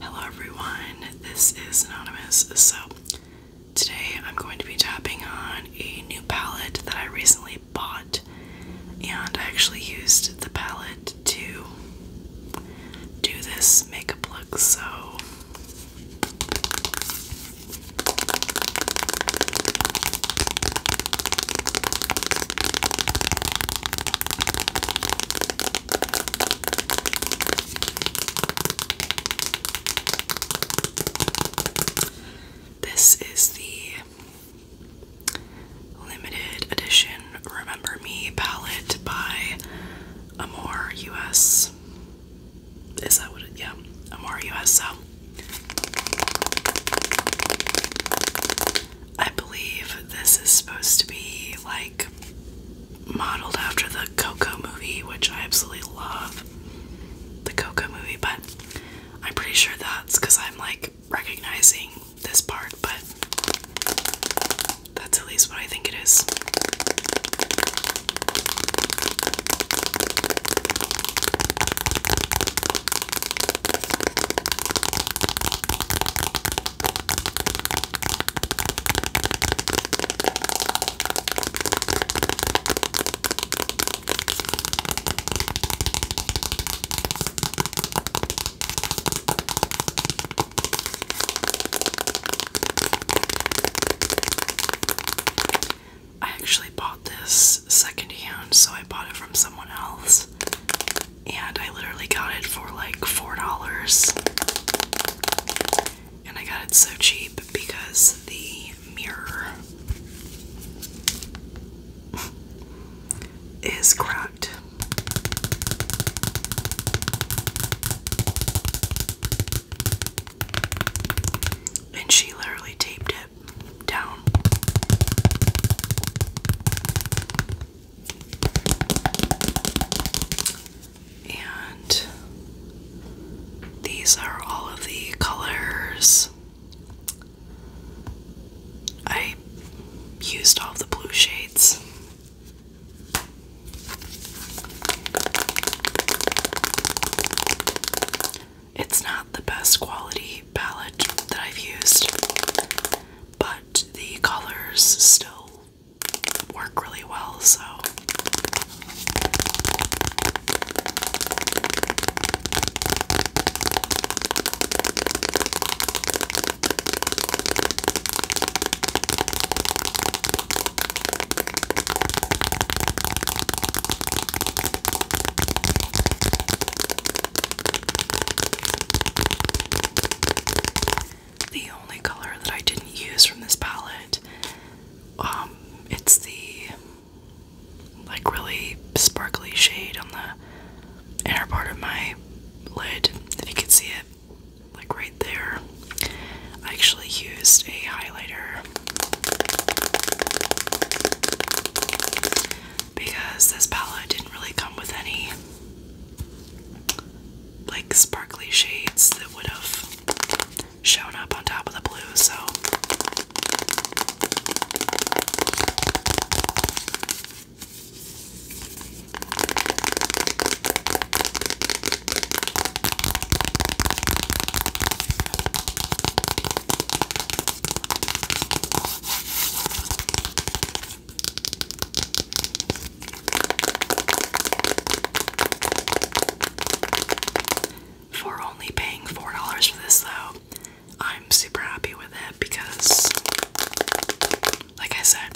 Hello everyone, this is Anonymous. So, today I'm going to be tapping on a new palette that I recently bought, and I actually used the palette to do this makeup look. So, this is the limited edition Remember Me palette by Amor US. Is that what yeah, Amore US so I believe this is supposed to be like modeled after the Coco movie, which I absolutely love. The Coco movie, but I'm pretty sure that's because I'm like recognizing this part, but that's at least what I think it is. I actually bought this secondhand, so I bought it from someone else, and I literally got it for like $4. And I got it so cheap because the mirror is cracked. And she literally taped it down. And these are all of the colors. I used all the blue shades. It's not the best quality palette that I've used, but the colors still work really well, so the only color that I didn't use from this palette. Um, it's the like really sparkly shade on the inner part of my lid, if you can see it, like right there. I actually used a highlighter because this palette didn't really come with any like sparkly shades that would have shown up on top of the blue, so for only paying $4 for this, though, I'm super happy with it because, like I said,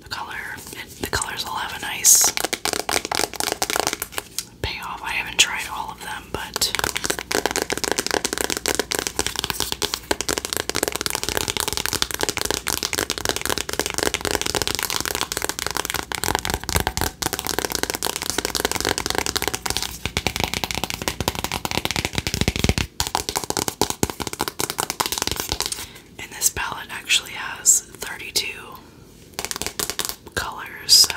the color, the colors will have a nice payoff. I haven't tried all of them, but and this palette actually has 32 colors, so.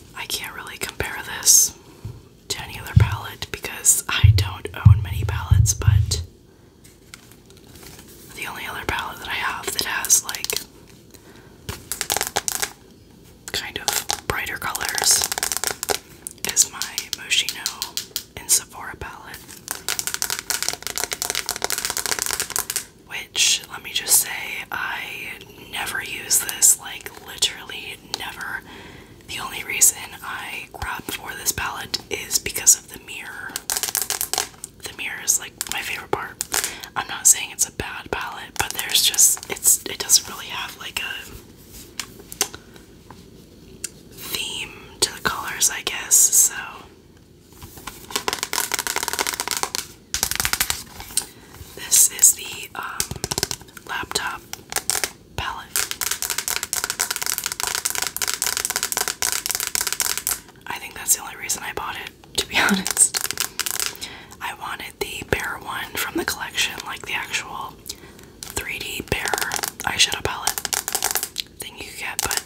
I can't really compare this to any other palette because I don't own many palettes, but the only other palette that I have that has like kind of brighter colors is my Moschino in Sephora palette. Which, let me just say, I never use this, like literally never. The only reason I grabbed for this palette is because of the mirror. The mirror is like my favorite part. I'm not saying it's a bad palette, but there's just it's it doesn't really have like a theme to the colors, I guess. So this is the um, laptop palette. I think that's the only reason I bought it, to be honest. I wanted the bare one from the collection, like the actual 3D bear eyeshadow palette thing you get, but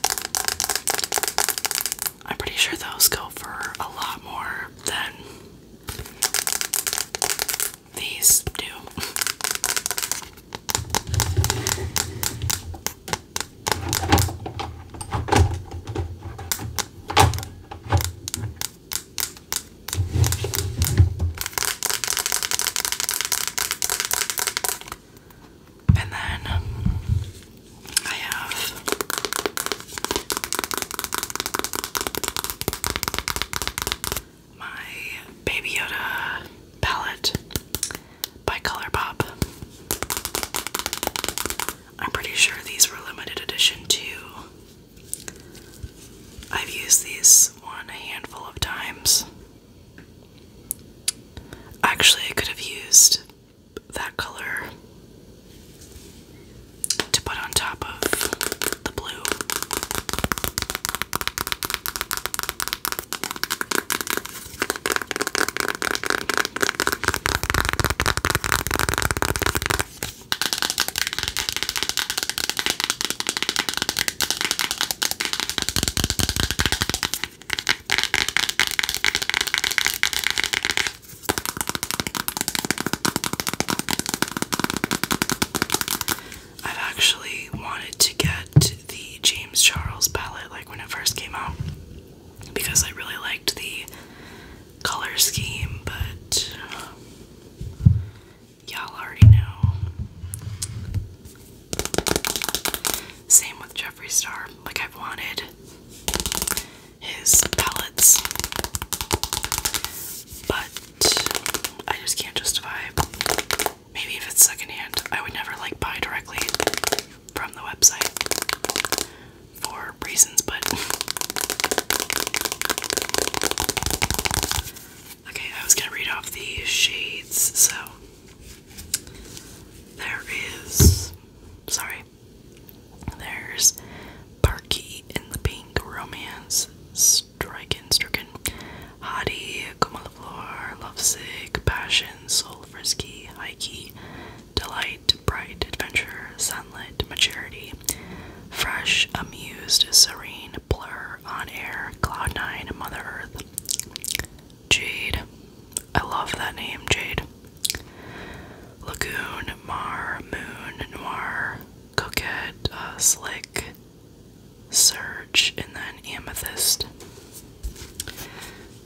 I'm pretty sure those go for a lot more than these do. And then um, I have my Baby Yoda palette by Colourpop. I'm pretty sure these were limited edition too. I've used these one a handful of times. Actually, I could have used that color to put on top of the blue. I've actually wanted to get the James Charles palette like when it first came out because I really liked the color scheme, but um, y'all already know. Same with Jeffree Star, like I've wanted his palettes, but I just can't justify. Maybe if it's secondhand, I would never like buy directly from the website for reasons, but okay, I was gonna read off the shades, so there is sorry, there's Parky in the Pink Romance, Stricken, Stricken, Hottie, Como la Flor, Lovesick, Passion, Soul Frisky, Hikey, Delight, Bright, Adventure, Sunlit, Maturity, Fresh, Amused, Serene, Blur, On Air, Cloud Nine, Mother Earth, Jade. I love that name, Jade. Lagoon, Mar, Moon, Noir, Coquette, uh, Slick, Surge, and then Amethyst.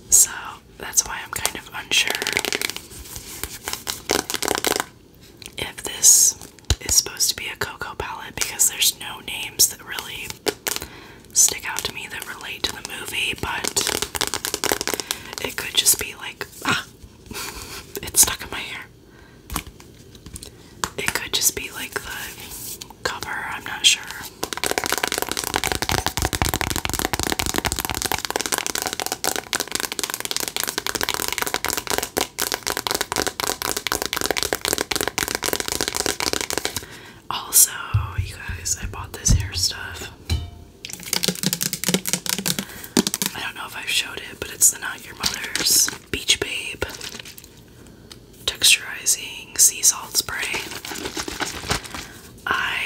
So that's why I'm kind of unsure if this is supposed to be a Cocoa palette because there's no names that really stick out to me that relate to the movie, but it could just be like, ah, it's stuck in my hair. It could just be like the cover, I'm not sure. Also, you guys, I bought this hair stuff I don't know if i showed it, but it's the Not Your Mother's Beach Babe Texturizing Sea Salt Spray. I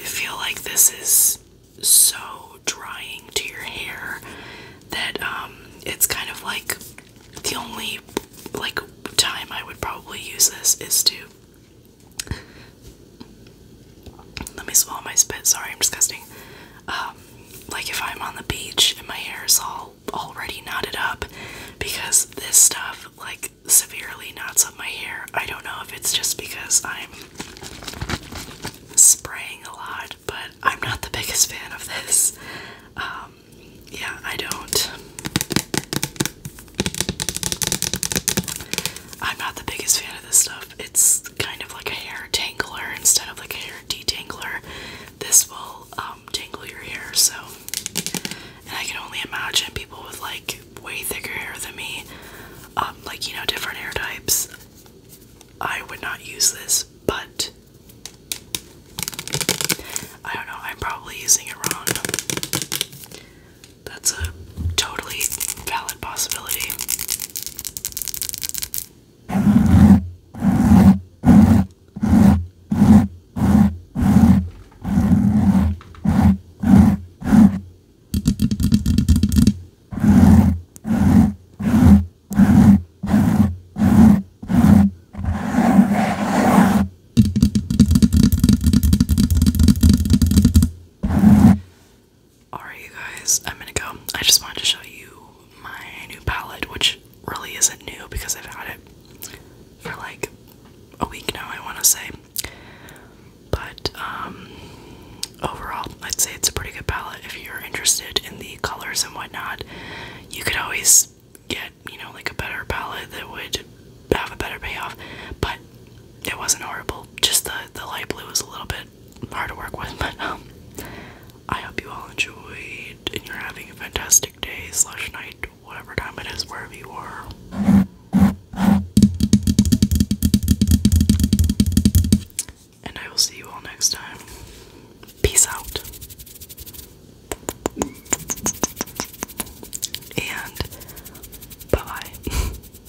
feel like this is so drying to your hair that um, it's kind of like the only like time I would probably use this is to let me swallow my spit. Sorry, I'm disgusting. Um, like if I'm on the beach and my hair is all already knotted up because this stuff like severely knots up my hair. I don't know if it's just because I'm spraying a lot, but I'm not the biggest fan of this. Um, yeah, I don't. I'm not the biggest fan of this stuff. It's kind of like a hair tangler instead of like a hair detangler. This will um, tangle your hair. So, and I can only imagine people with like way thicker hair than me, um, like you know, different hair types. I would not use this, but I don't know. I'm probably using it wrong. That's a totally valid possibility. Alright, you guys, I'm gonna go. I just wanted to show you my new palette, which really isn't new because I've had it for like a week now, I want to say. But um, overall, I'd say it's a pretty good palette if you're interested in the colors and whatnot. You could always get, you know, like a better palette that would have a better payoff, but it wasn't horrible. Just the, the light blue was a little bit hard to work with, but um, I hope you all enjoyed and you're having a fantastic day slash night, whatever time it is, wherever you are. And I will see you all next time. Peace out. And bye bye.